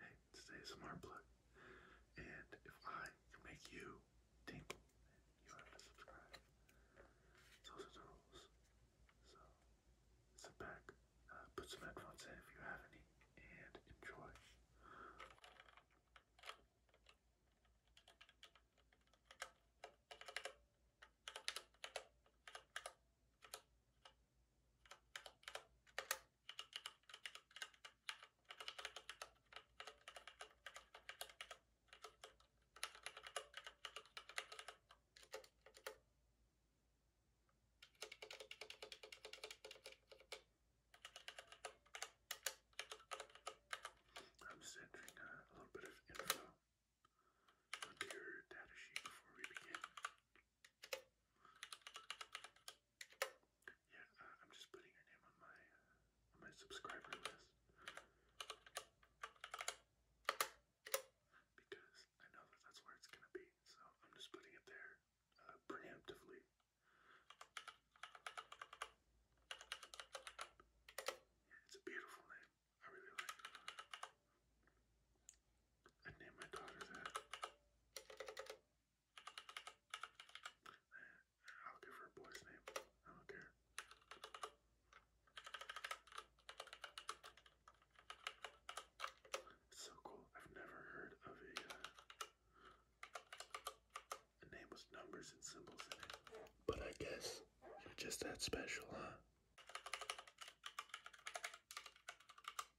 Hey, today is Smart Plug, and if I can make you tingle, then you have to subscribe. Those are the rules. So, sit back, uh, put some headphones in if you have any, and enjoy. I'm just a, little bit of info onto your data before we begin. Yeah, uh, I'm just putting your name on my on my subscriber list because I know that that's where it's gonna be. So I'm just putting it there uh, preemptively. it's a beautiful name. I really like it. I named my daughter that. I'll give her a boy's name. I don't care. so cool. I've never heard of a, uh, name with numbers and symbols But I guess you're just that special, huh?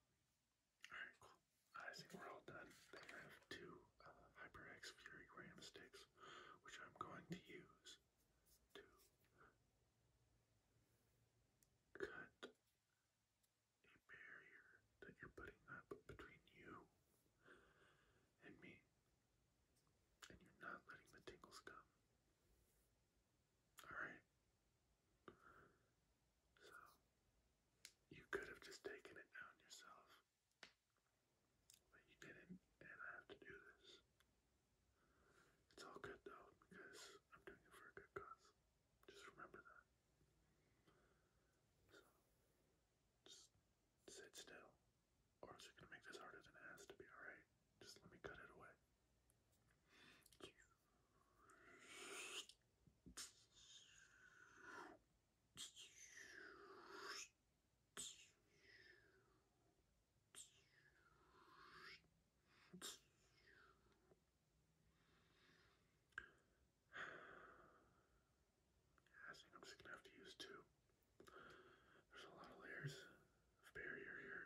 Alright, cool. I think we're all done. They have two uh, HyperX Fury Ram sticks, which I'm going to use to cut a barrier that you're putting up between you and me. And you're not letting the tingles come. Alright, so, you could have just taken it down yourself, but you didn't, and I have to do this. It's all good though, because I'm doing it for a good cause. Just remember that. So, just sit still, or else you're gonna make this harder than it has to be, alright? Just let me cut it away. I think I'm just gonna have to use two. There's a lot of layers of barrier here.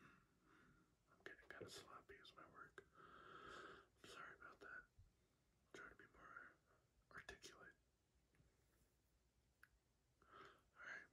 I'm getting kind of sloppy as my work. sorry about that. trying to be more articulate. Alright.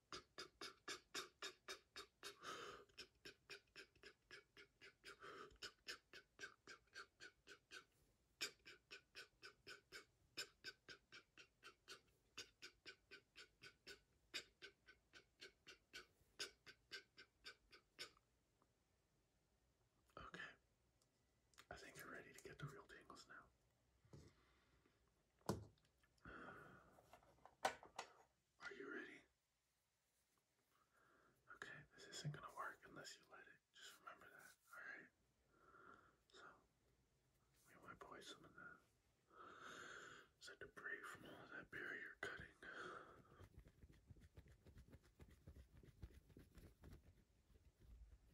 Okay, I think you're ready to get the real tingles now. Are you ready? Okay, this isn't gonna work unless you let it. Just remember that, alright? So, we wipe away some of that. So debris from all that barrier cutting.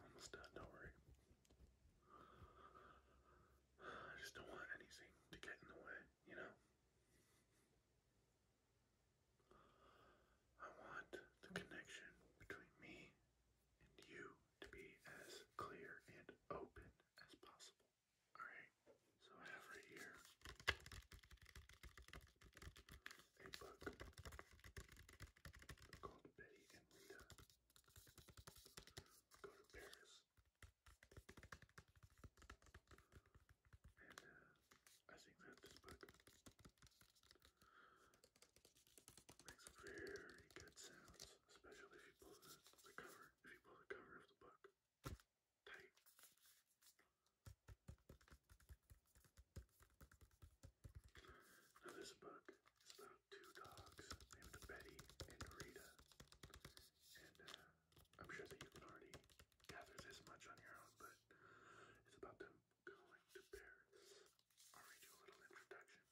Almost done, don't worry. I just don't want anything to get in the way, you know? I want the connection between me and you to be as clear and open as possible. Alright, so I have right here a book called Betty and Linda Go to Paris and I think that this book makes very good sounds, especially if you pull the, cover. If you pull the cover of the book tight. Now this book is about two dogs named Betty and Rita, and uh, I'm sure that you can already gather this much on your own, but it's about them going to Paris. I'll read you a little introduction.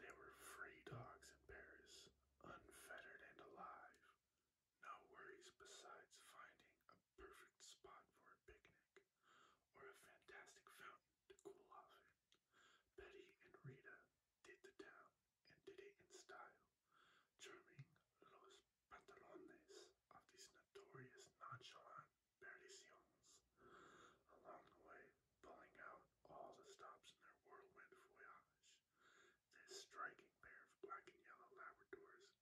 They were free dogs in Paris, unfettered and alive. No worries besides finding a perfect spot for a picnic or a fantastic fountain to cool off in. Betty and Rita did the town and did it in style charming los pantalones of these notorious nonchalant perdiciones, along the way pulling out all the stops in their whirlwind voyage. This striking pair of black and yellow Labradors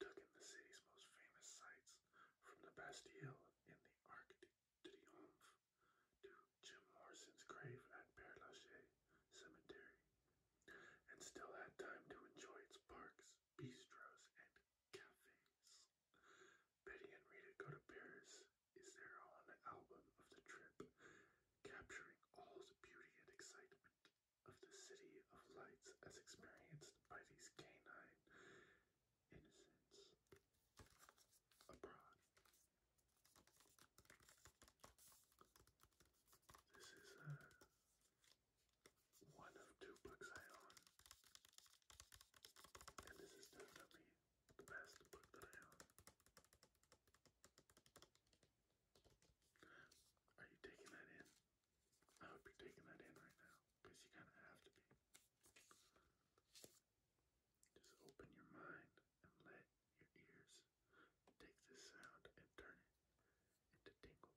took in the city's most famous sights, from the Bastille in the Arc de Triomphe to Jim Morrison's grave at Père Lachaise. Cemetery, and still had time to enjoy its parks, bistros, and cafes. Betty and Rita Go to Paris is their own album of the trip, capturing all the beauty and excitement of the city of lights as experienced by these canine innocents abroad. This is uh, one of two books I own, and this is definitely the best book that I own. Are you taking that in? I would be taking that in right now because you kind of have to be. Just open your mind and let your ears is take this sound and turn it into tingles.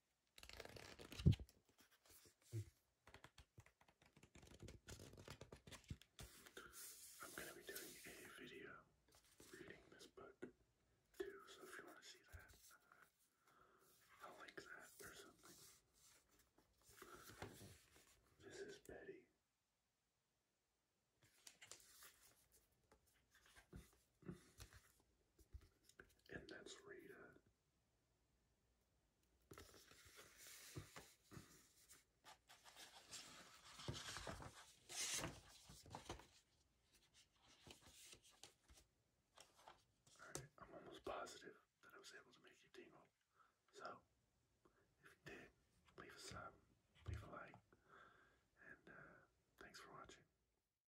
I'm going to be doing a video reading this book too, so if you want to see that, uh, I'll like that or something. This is Betty and that's Rita. I'm almost positive that I was able to make you tingle. So, if you did, leave a sub, leave a like, and uh, thanks for watching.